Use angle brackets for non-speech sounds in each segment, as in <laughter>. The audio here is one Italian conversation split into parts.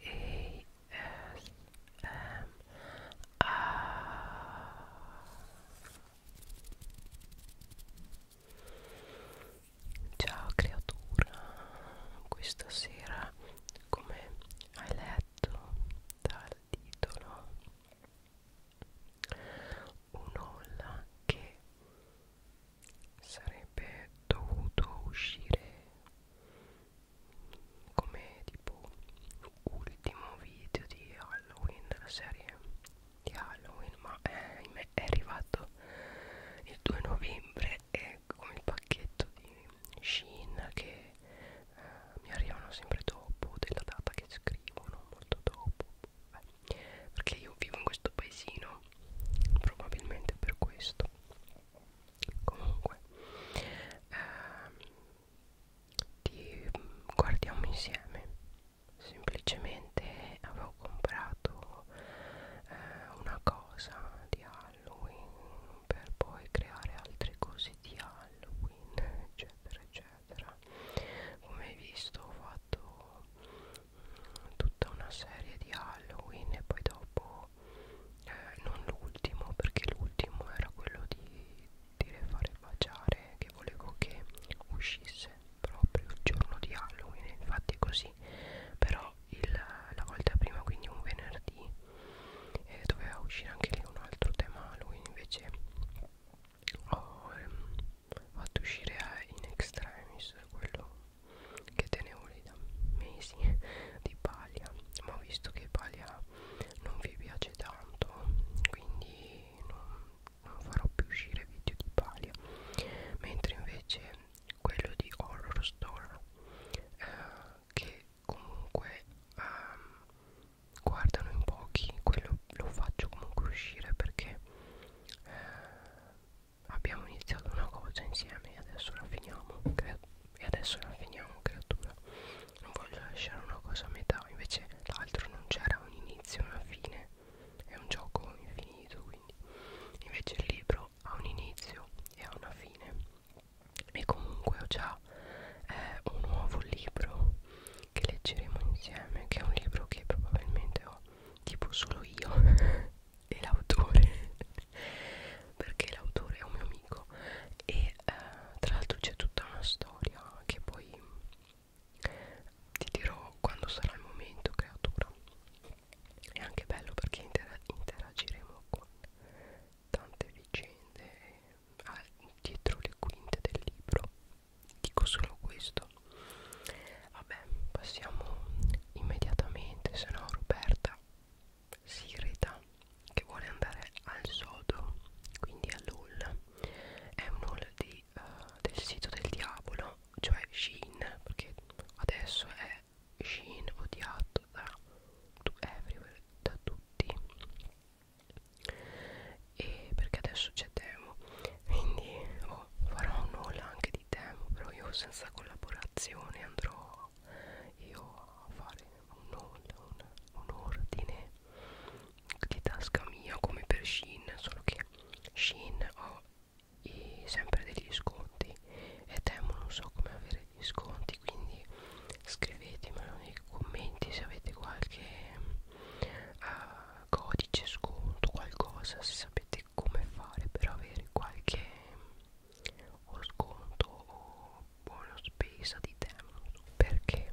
E S M A Ciao creatura, questa sera come hai letto dal titolo un'olla che sarebbe dovuto uscire come tipo ultimo video di Halloween della serie di Halloween ma eh, è arrivato il 2 novembre e con il pacchetto di Shin che eh, mi arrivano sempre dopo della data che scrivono molto dopo Beh, perché io vivo in questo paesino probabilmente per questo comunque ehm, ti guardiamo insieme semplicemente avevo comprato eh, una cosa di Halloween per poi creare altre cose di Halloween eccetera eccetera come hai visto ho fatto mh, mm, tutta una serie di Halloween e poi dopo ultimo eh, non l'ultimo perché l'ultimo era quello di dire fare baciare che volevo che uscisse proprio il giorno di Halloween infatti è così però il, la volta prima quindi un venerdì eh, doveva uscire anche lì un altro tema Halloween invece ho ehm, fatto uscire eh, in extremis quello che te ne vuole da mesi di paglia ma ho visto che paglia non vi piace tanto quindi non, non farò più uscire video di paglia mentre invece quello di horror store eh, che comunque ehm, guardano in pochi quello lo faccio comunque uscire perché eh, abbiamo iniziato una cosa insieme e adesso la finiamo credo e adesso la finiamo creatura non voglio lasciare una cosa a metà invece l'altro non c'era un inizio e una fine è un gioco infinito quindi invece il libro ha un inizio e ha una fine e comunque ho già eh, un nuovo libro che leggeremo insieme che è un libro che probabilmente ho tipo solo io <laughs> e l'autore <laughs> perché l'autore è un mio amico e uh, tra l'altro c'è tutta una storia che poi ti dirò quando sarà il momento creatura è anche bello perché intera interagiremo con tante vicende ah, dietro le quinte del libro dico solo questo vabbè passiamo immediatamente se no Roberta si irrita che vuole andare al sodo quindi all'haul è un haul di, uh, del sito del diavolo cioè Shein perché adesso è Shein odiato da, da tutti e perché adesso c'è Temo quindi oh, farò un haul anche di Temo però io senza collaborazione andrò io a fare un, un, un ordine di tasca mia come per Shin solo che Shin ho i, sempre degli sconti e Temo non so come avere gli sconti quindi scrivetemelo nei commenti se avete qualche uh, codice sconto qualcosa se sapete come fare per avere qualche o sconto o buona spesa di Temu perché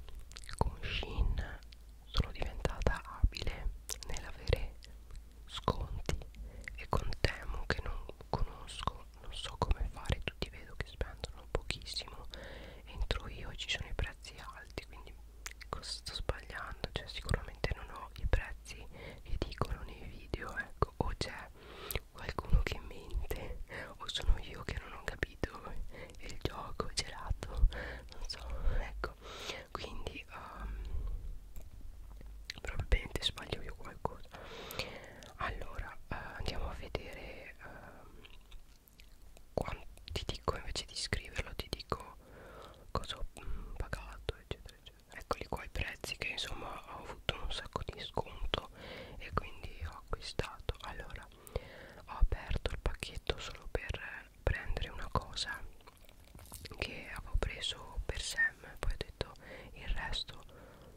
con Shein sono diventata abile nell'avere sconti e con Temu che non conosco non so come fare tutti vedo che spendono pochissimo entro io ci sono i prezzi alti quindi cosa sto sbagliando cioè sicuramente non ho i prezzi che dicono nei video ecco o c'è qualcuno che mente o sono io che non ho capito il gioco gelato non so ecco quindi um, probabilmente sbaglio io qualcosa allora uh, andiamo a vedere uh, ehm, quando ti dico invece di scriverlo ti dico cosa ho mm, pagato eccetera eccetera eccoli qua i prezzi che insomma ho avuto un sacco di sconto e quindi ho acquistato allora ho aperto il pacchetto solo per prendere una cosa che avevo preso per Sam poi ho detto il resto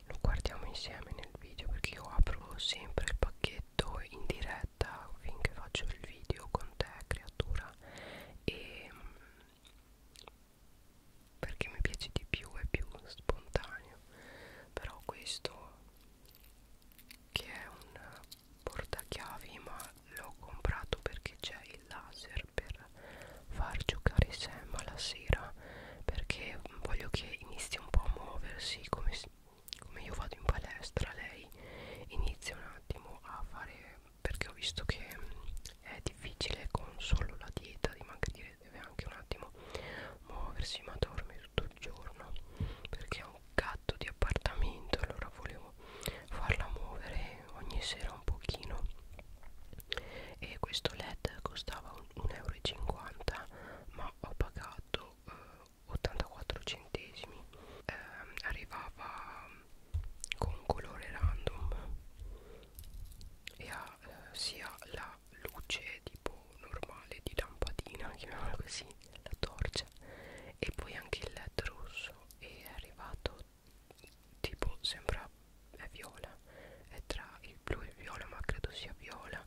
lo guardiamo insieme nel video perché io apro sempre il pacchetto in diretta finché faccio il video con te creatura e perché mi piace di più è più spontaneo però questo che è un portachiavi ma l'ho comprato perché c'è il laser per far giocare Sam alla sera perché voglio che inizi un po' a muoversi come, come io vado in palestra lei inizia un attimo a fare perché ho visto che mm, è difficile con solo la dieta dimagrire deve anche un attimo muoversi ma dorme tutto il giorno perché è un gatto di appartamento allora volevo farla muovere ogni sera un pochino e questo led costava 1,50 euro ma ho pagato eh, 84 centesimi eh, arrivava mm, con un colore random e ha eh, sia la luce tipo normale di lampadina chiamiamola così la torcia e poi anche il led rosso è arrivato tipo sembra è viola è tra il blu e il viola ma credo sia viola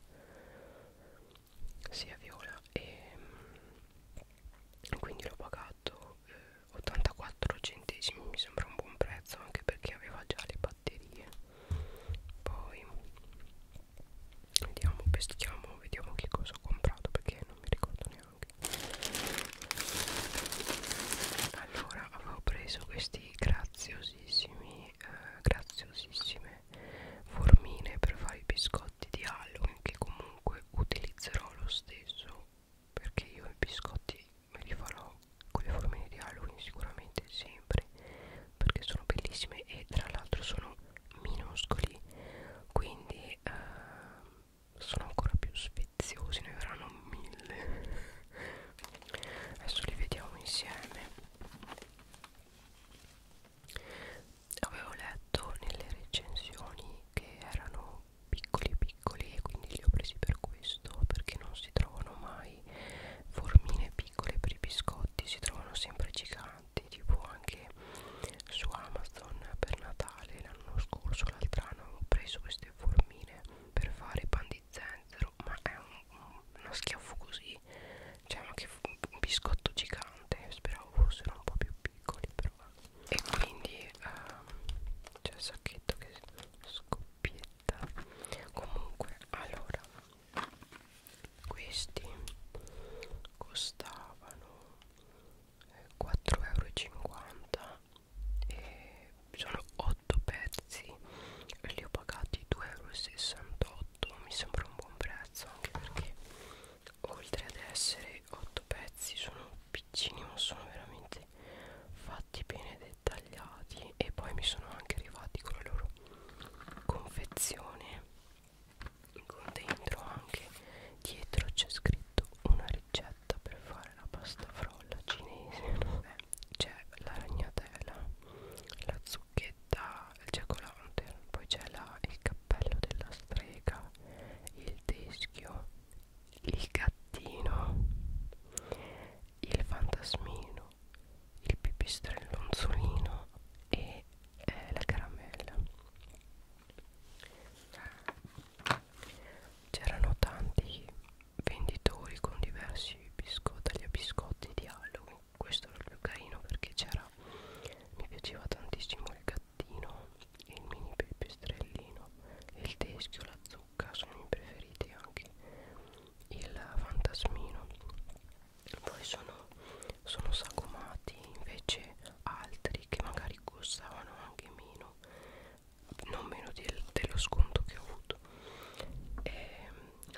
sia viola e mm, quindi l'ho pagato eh, 84 centesimi mi sembra un buon prezzo anche perché aveva già le batterie poi vediamo peschiamo vediamo che cosa ho comprato perché non mi ricordo neanche allora avevo preso questi graziosissimi eh, graziosissime formine per fare i biscotti di Halloween che comunque utilizzerò lo stesso perché io i biscotti me li farò con le formine di Halloween sicuramente sempre perché sono bellissime e tra l'altro sono minuscoli quindi eh, sono ancora più sfiziosi ne verranno mille adesso li vediamo insieme avevo letto nelle recensioni che erano piccoli e piccoli e quindi li ho presi per questo perché non si trovano mai formine piccole per i biscotti si trovano sempre giganti tipo anche su Amazon per Natale l'anno scorso l'altro anno ho preso queste formine per fare pan di zenzero ma è un, un, uno schiaffo così cioè ma che un biscotto gigante speravo fossero un po' più piccoli però e quindi um, c'è il sacchetto che scoppietta comunque allora questi costavano 4,50 eh, euro e sono 8 pezzi li ho pagati 2,68 euro mi sembra un buon prezzo anche perché oltre ad essere poi 8 pezzi sono piccini ma sono veramente fatti bene dettagliati e poi mi sono anche arrivati con la loro confezione con dentro anche dietro c'è scritto una ricetta per fare la pasta frolla cinese <laughs> c'è la ragnatela la zucchetta il jack poi c'è il cappello della strega il teschio il gattino, il fantasmino, il pipistrello onzolino e eh, la caramella. C'erano tanti venditori con diversi biscotti, biscotti di Halloween. Questo era il più carino perché c'era mi piaceva tantissimo il gattino il mini pipistrellino il teschio, la zucca sono i miei preferiti anche il fantasmino poi sono, sono sagomati invece altri che magari costavano anche meno non meno del, dello sconto che ho avuto e ehm,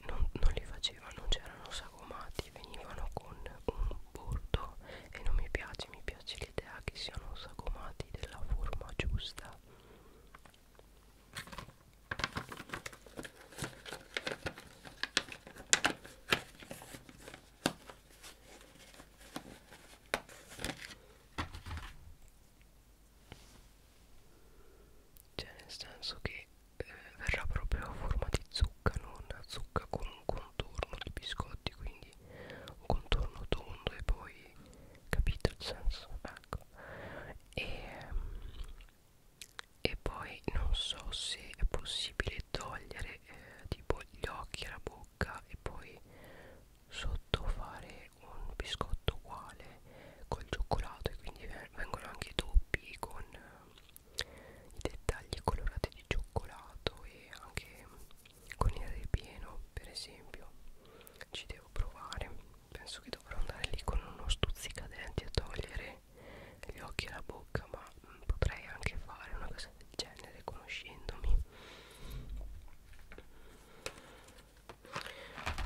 non, non li facevano c'erano sagomati venivano con un bordo e non mi piace mi piace l'idea che siano sagomati della forma giusta cioè nel senso che eh, verrà proprio a forma di zucca non a zucca con un contorno di biscotti quindi poi un contorno tondo e poi capite il senso ecco e, ehm, e poi non so se è possibile togliere eh, tipo gli occhi alla bocca e poi sotto fare un biscotto uguale col cioccolato e quindi vengono anche doppi con eh, i dettagli colorati di cioccolato e anche con il ripieno per esempio ci devo provare penso che dovrò andare lì con uno stuzzicadenti a togliere gli occhi e la bocca ma mh, mm, potrei anche fare una cosa del genere conoscendomi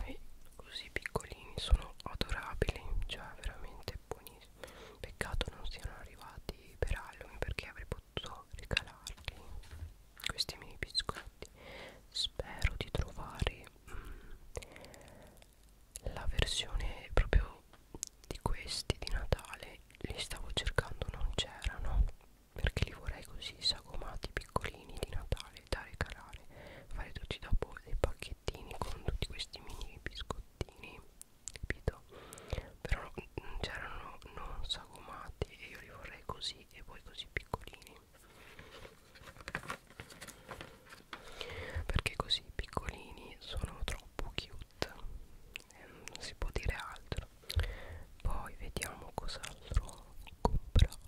e così piccolini sono adorabili cioè veramente buonissimi peccato non siano arrivati per Halloween perché avrei potuto potuto regalarti questi miei biscotti spero di trovare mm, la versione proprio di questi di Natale li stavo cercando non c'erano perché li vorrei così sagomati piccolini di Natale da regalare fare tutti dopo dei pacchettini con tutti questi mini biscottini capito quello però c'erano non sagomati e io li vorrei così e poi così piccolini perché così piccolini sono troppo cute e ehm, non si può dire altro poi vediamo cos'altro ho comprato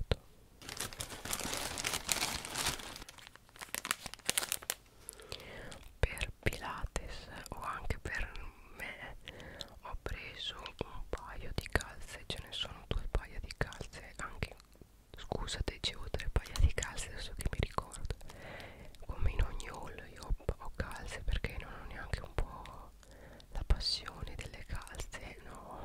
per Pilates o anche per me ho preso un paio di calze ce ne sono due paia di calze anche scusate c'è tre paia di calze adesso che mi ricordo come in ogni haul io ho, ho calze perché non ho neanche un po' la passione delle calze no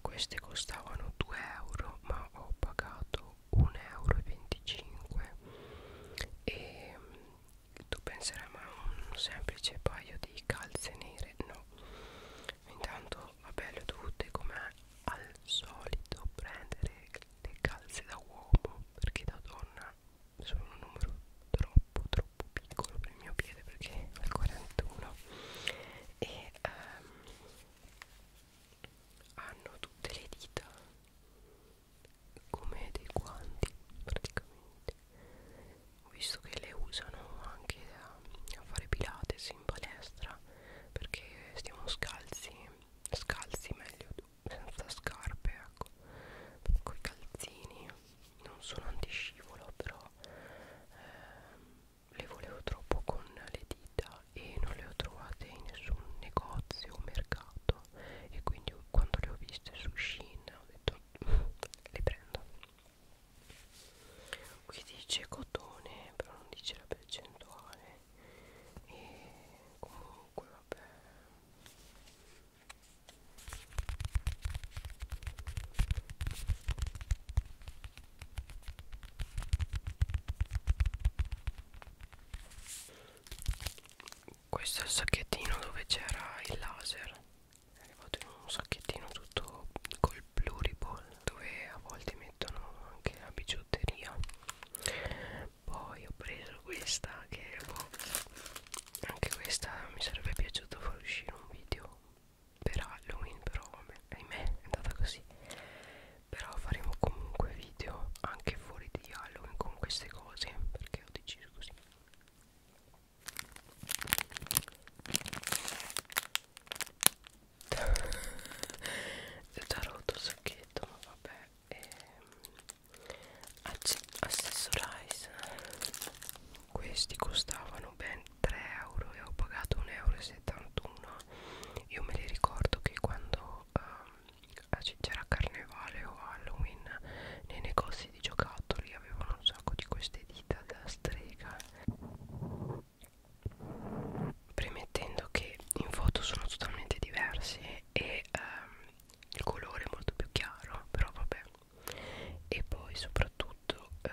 queste costavano 2 euro ma ho pagato 1,25 euro e mm, tu penserai ma un semplice paio di calze nere no intanto vabbè le ho dovute come al solito prendere le calze da uomo perché da donna sono un numero troppo troppo piccolo per il mio piede perché al 41 e um, hanno tutte le dita come dei guanti praticamente ho visto che le usano anche a, a fare pilates in palestra perché stiamo scalzi scalzi meglio senza scarpe ecco con i calzini non sono antiscivolo però eh, le volevo troppo con le dita e non le ho trovate in nessun negozio o mercato e quindi quando le ho viste su Shein ho detto mm, le prendo qui dice cotone però non dice la percentuale e comunque vabbè questo è il sacchettino dove c'era il laser È arrivato in un sacchettino tutto col pluriball Dove a volte mettono anche la bigiotteria Poi ho preso questa che boh, anche questa mi sarebbe piaciuto far uscire un video per Halloween però ahimè è andata così però faremo comunque video anche fuori di Halloween con queste cose perché ho deciso così è <laughs> già rotto il sacchetto ma vabbè ehm, accessorize questi costavano ben 3 euro e ho pagato 1,71 euro io me li ricordo che quando um, c'era carnevale o halloween nei negozi di giocattoli avevano un sacco di queste dita da strega premettendo che in foto sono totalmente diversi e um, il colore è molto più chiaro però vabbè e poi soprattutto eh,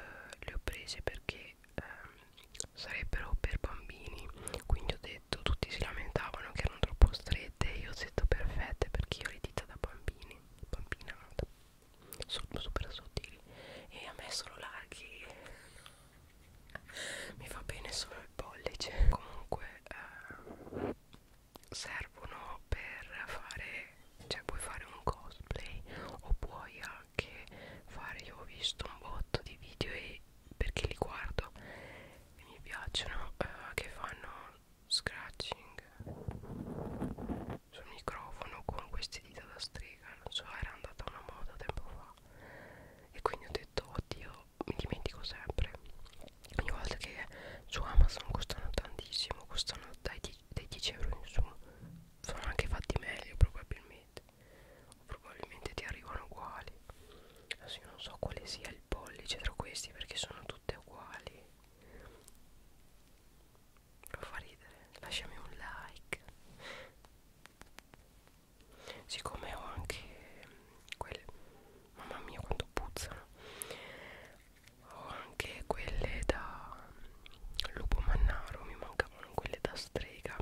le ho prese perché che ehm, sarebbero per bambini quindi ho detto tutti si lamentavano che erano troppo strette io ho detto perfette perché io le dita da bambini bambinata sono super sottili e a me sono larghi <laughs> mi va bene solo il pollice comunque eh, servono per fare cioè puoi fare un cosplay o puoi che fare io ho visto un botto di video e perché li guardo e mi piacciono uh, che fanno scratching sul microfono con queste dita da strega non so era andata una moda tempo fa e quindi ho detto oddio mi dimentico sempre ogni volta che su Amazon costano tantissimo costano dai, dai 10 euro in su sono anche fatti meglio probabilmente probabilmente ti arrivano uguali adesso io non so quale sia il pollice tra questi perché sono tutte uguali lo fa ridere lasciami un like siccome ho anche quelle mamma mia quanto puzzano ho anche quelle da lupo mannaro mi mancavano quelle da strega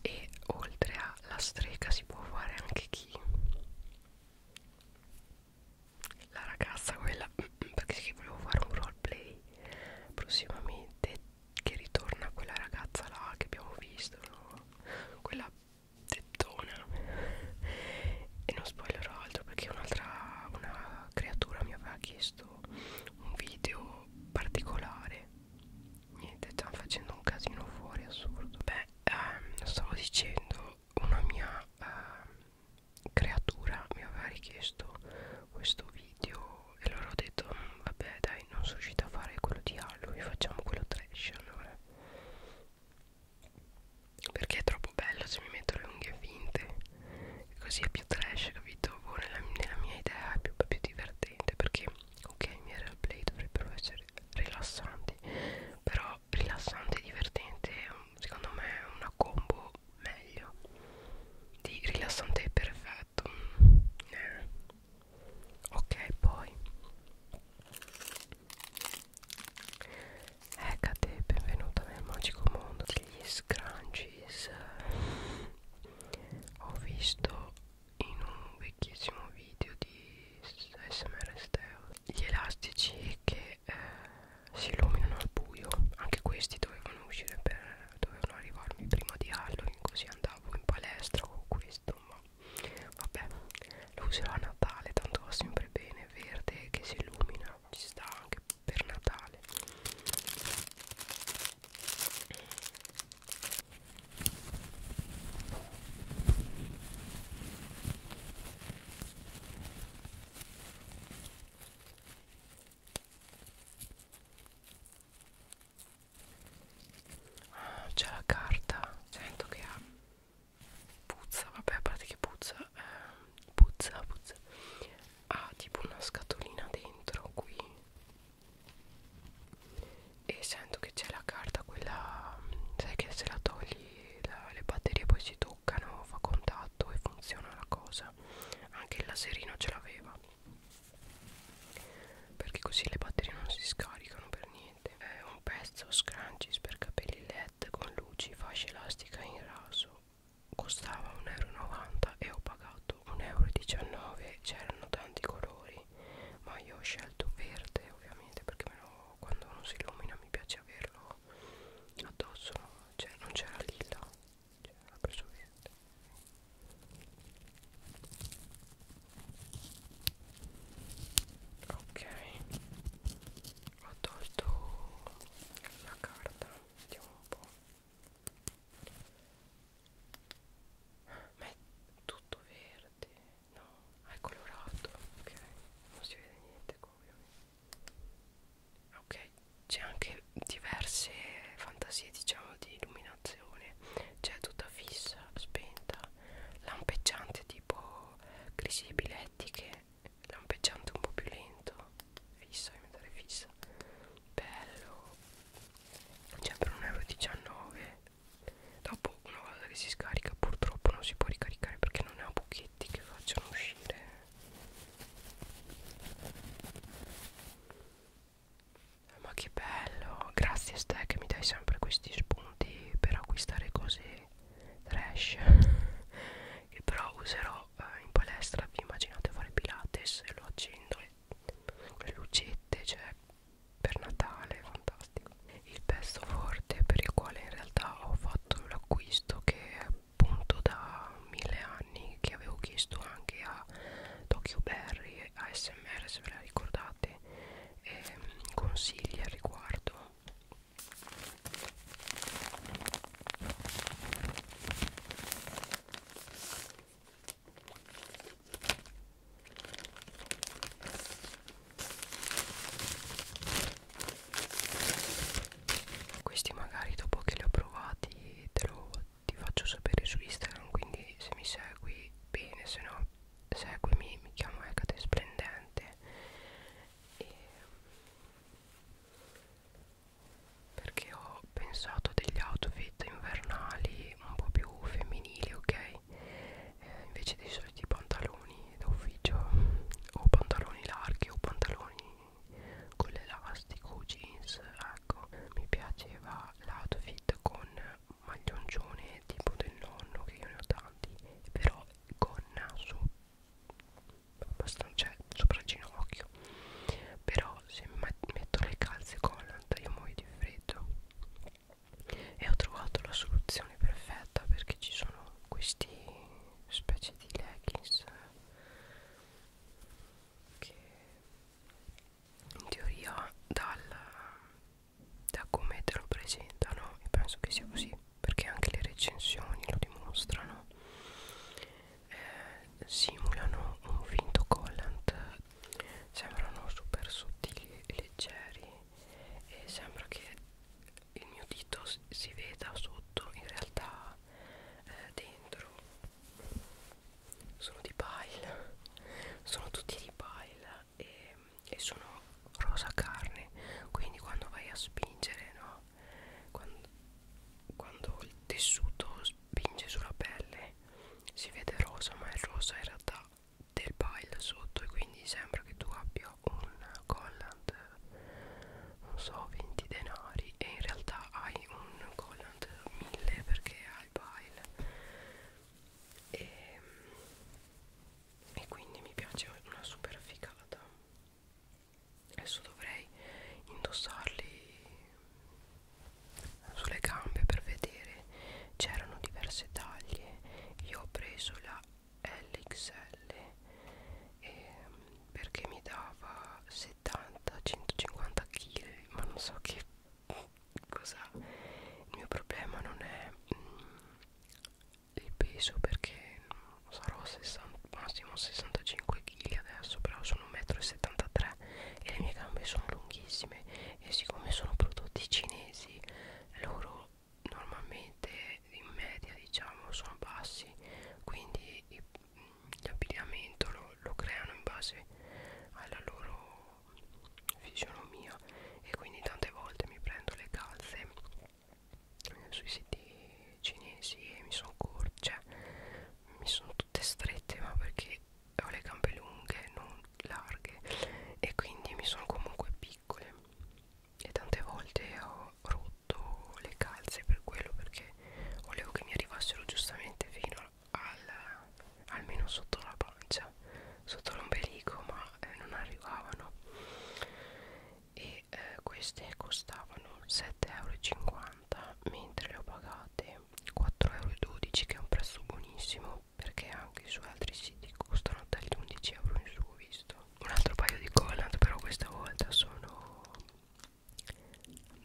e oltre alla strega si può fare anche chi la ragazza quella <clears throat> perché volevo fare un roleplay prossimamente che ritorna quella ragazza là che abbiamo visto no? quella tettona e non spoilerò altro perché un'altra una creatura mi aveva chiesto un video particolare niente stanno facendo un casino fuori assurdo beh ehm, stavo dicendo una mia ehm, creatura mi aveva richiesto questo video e loro ho detto mm, vabbè dai non sono riuscita a fare quello di Halloween facciamo quello trash allora perché è troppo bello se mi metto le unghie finte così è più trash capito boh, nella, nella mia idea è più, più divertente perché ok i miei roleplay dovrebbero essere rilassanti però rilassante e divertente secondo me è una combo meglio di rilassante e perfetto mm. eh, ok poi Hecate, ecco benvenuta nel magico mondo degli scrunchies ho visto in un vecchissimo video di smr steo gli elastici che eh, si illuminano al buio anche questi dovevano uscire per dovevano arrivarmi prima di Halloween così andavo in palestra con questo ma Vabbè, lo userò a Natale, tanto va sempre bene, verde che si illumina, ci sta anche per Natale. C'è la carta, sento che ha puzza, vabbè a parte che puzza, eh, puzza, puzza, ha tipo una scatolina dentro qui e sento che c'è la carta quella, sai che se la togli la, le batterie poi si toccano, fa contatto e funziona la cosa, anche il laserino ce l'aveva perché così le batterie non si scaricano per niente è un pezzo scrunchies per capelli led con luci fascia elastica in raso costava 1,90 euro e ho pagato 1,19 euro c'erano tanti colori ma io ho scelto verde ovviamente perché meno quando non si illumina mi piace averlo addosso no? cioè non c'era lilla c'era preso verde ok ho tolto la carta vediamo un po' ma è tutto verde no è colorato ok non si vede niente ovviamente ok c'è anche diverse fantasie diciamo di illuminazione illuminazione c'è cioè tutta fissa, spenta lampeggiante tipo crisi epilettiche lampeggiante un po' più lento fissa, diventare fissa bello c'è cioè, per 1,19€ dopo una volta che si scarica purtroppo non si può ricaricare perché non ha buchetti che facciano uscire ma che bello, grazie Ste che mi dai sempre questi spunti per acquistare cose trash <laughs> Che però userò eh, in palestra, vi immaginate fare pilates e lo accendo e le lucette, cioè per Natale, fantastico Il pezzo forte per il quale in realtà ho fatto l'acquisto che è appunto da mille anni che avevo chiesto anche a Tokyo Berry ASMR se ve la ricordate avete eh, consigli al riguardo questi magari dopo che li ho provati te lo, ti faccio sapere su Instagram quindi se mi segui bene se no seguimi mi chiamo Ecate Splendente e perché ho pensato degli outfit invernali un po' più femminili ok eh, invece dei soliti pantaloni d'ufficio o pantaloni larghi o pantaloni con l'elastico jeans ecco mi piaceva l'outfit con maglioncione tipo del nonno che io ne ho tanti però con naso abbastanza cioè, sopra il ginocchio però se metto le calze Conant io muoio di freddo e ho trovato la soluzione perfetta perché ci sono questi specie di leggings che in teoria dal, da come te lo presentano e penso che sia così perché anche le recensioni lo dimostrano eh, simulano un finto collant sembrano super sottili e leggeri e sembra che il mio dito si veda sotto in realtà eh, dentro sono di pile sono tutti di pile e, e sono rosa carne quindi quando vai a spingere no quando, quando il tessuto spinge sulla pelle si vede rosa ma il rosa in realtà del pile sotto e quindi sembra che tu abbia un collant non so 20 denari e in realtà hai un collant 1000 perché al pile e, e quindi mi piace una super figata adesso dovrei indossarli sulle gambe per vedere c'erano diverse taglie io ho preso la LXL e, perché mi dava 70-150 kg ma non so che cosa il mio problema non è mh, mm, il peso perché sarò 60, massimo 65 kg adesso però sono 1,73 m e le mie gambe sono lunghissime e siccome sono prodotti cinesi loro normalmente in media diciamo sono bassi quindi l'abbigliamento mm, lo lo, lo creano in base alla loro fisionomia e quindi tante volte mi prendo le calze sui siti cinesi e mi sono corte, cioè mi sono tutte strette ma perché ho le gambe lunghe non larghe e quindi mi sono comunque piccole e tante volte ho rotto le calze per quello perché volevo che mi arrivassero giustamente fino al, almeno sotto la pancia sotto l'ombelico ma eh, non arrivavano e eh, queste costavano 7,50€ mentre le ho pagate 4,12€ che è un prezzo buonissimo perché anche su altri siti costano dagli 11€ in su ho visto un altro paio di collant però questa volta sono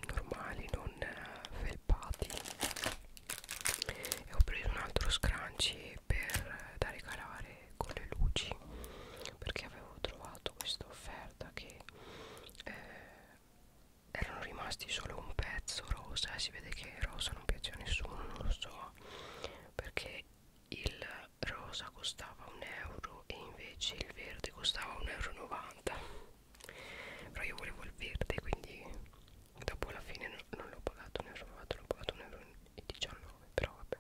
normali non eh, felpati e ho preso un altro scrunchie per eh, da regalare con le luci perché avevo trovato questa offerta che eh, erano rimasti solo un pezzo rosa e si vede che il rosa non piace a nessuno non lo so perché il rosa costava un euro e invece il verde costava 1,90 euro però io volevo il verde quindi dopo alla fine non, non l'ho pagato ne ho trovato l'ho pagato 1,19 euro però vabbè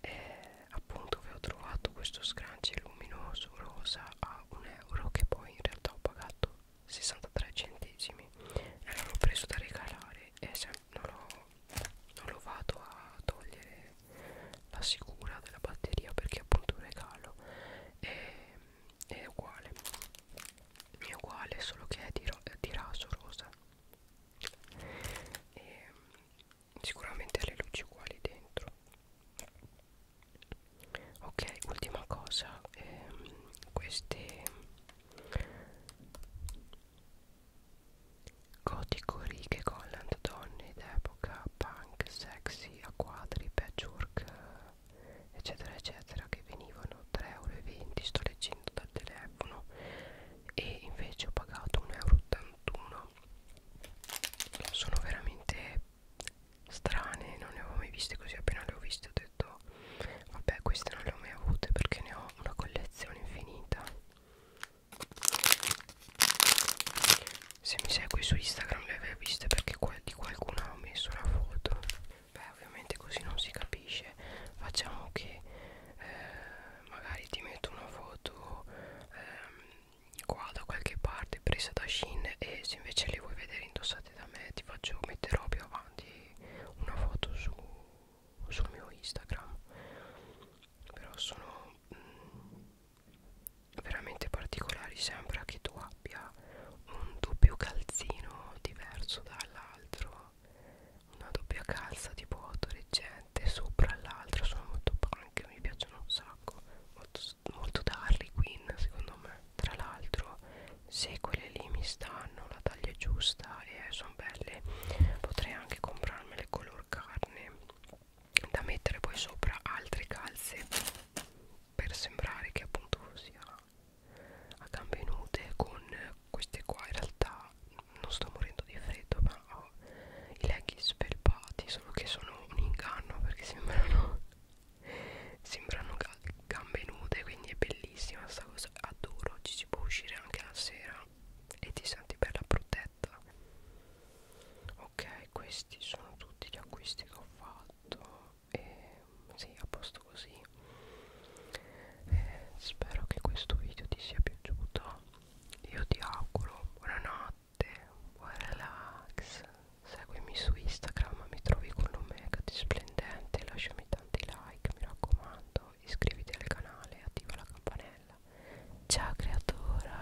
eh, appunto avevo trovato questo scrunchie luminoso rosa a 1 euro che poi in realtà ho pagato 63 centesimi e l'ho preso da regalare e se non lo vado a togliere la sicura della batteria perché appunto un regalo e è uguale è uguale solo che è di, di raso rosa e mm, sicuramente ha le luci uguali dentro ok ultima cosa ehm, queste gotico righe collant donne d'epoca punk sexy a quadri patchwork eccetera eccetera che venivano 3,20 euro sto leggendo dal telefono e invece ho pagato 1,81 euro sono veramente strane non ne avevo mai viste così appena le ho viste ho detto vabbè queste non le ho mai avute perché ne ho una collezione infinita se mi segui su Instagram le avevi viste perché di qualcuno ha messo una foto. Beh, ovviamente così non si capisce. Facciamo che eh, magari ti metto una foto eh, qua da qualche parte presa da Shin e se invece le vuoi vedere indossate da me ti faccio metterò più avanti una foto su, sul mio Instagram. Però sono... Mm, veramente particolari sembra che tu abbia un doppio calzino diverso dall'altro una doppia calza tipo autoreggente sopra l'altra sono molto punk mi piacciono un sacco molto, molto da Harley Quinn secondo me tra l'altro se quelle lì mi stanno la taglia è giusta e sono belle potrei anche comprarmele color carne da mettere poi sopra altre calze per sembrare che appunto sia a gambe nude con queste qua in realtà non sto morendo di freddo ma ho i leggings felpati solo che sono un inganno perché sembrano <laughs> sembrano ga gambe nude quindi è bellissima questa cosa adoro ci si può uscire anche la sera e ti senti bella protetta ok e questi sono tutti gli acquisti che ho fatto e sì, a posto così eh, spero che questo video ti sia piaciuto io ti auguro buonanotte buon relax seguimi su instagram mi trovi con l'omega di splendente lasciami tanti like mi raccomando iscriviti al canale e attiva la campanella ciao creatura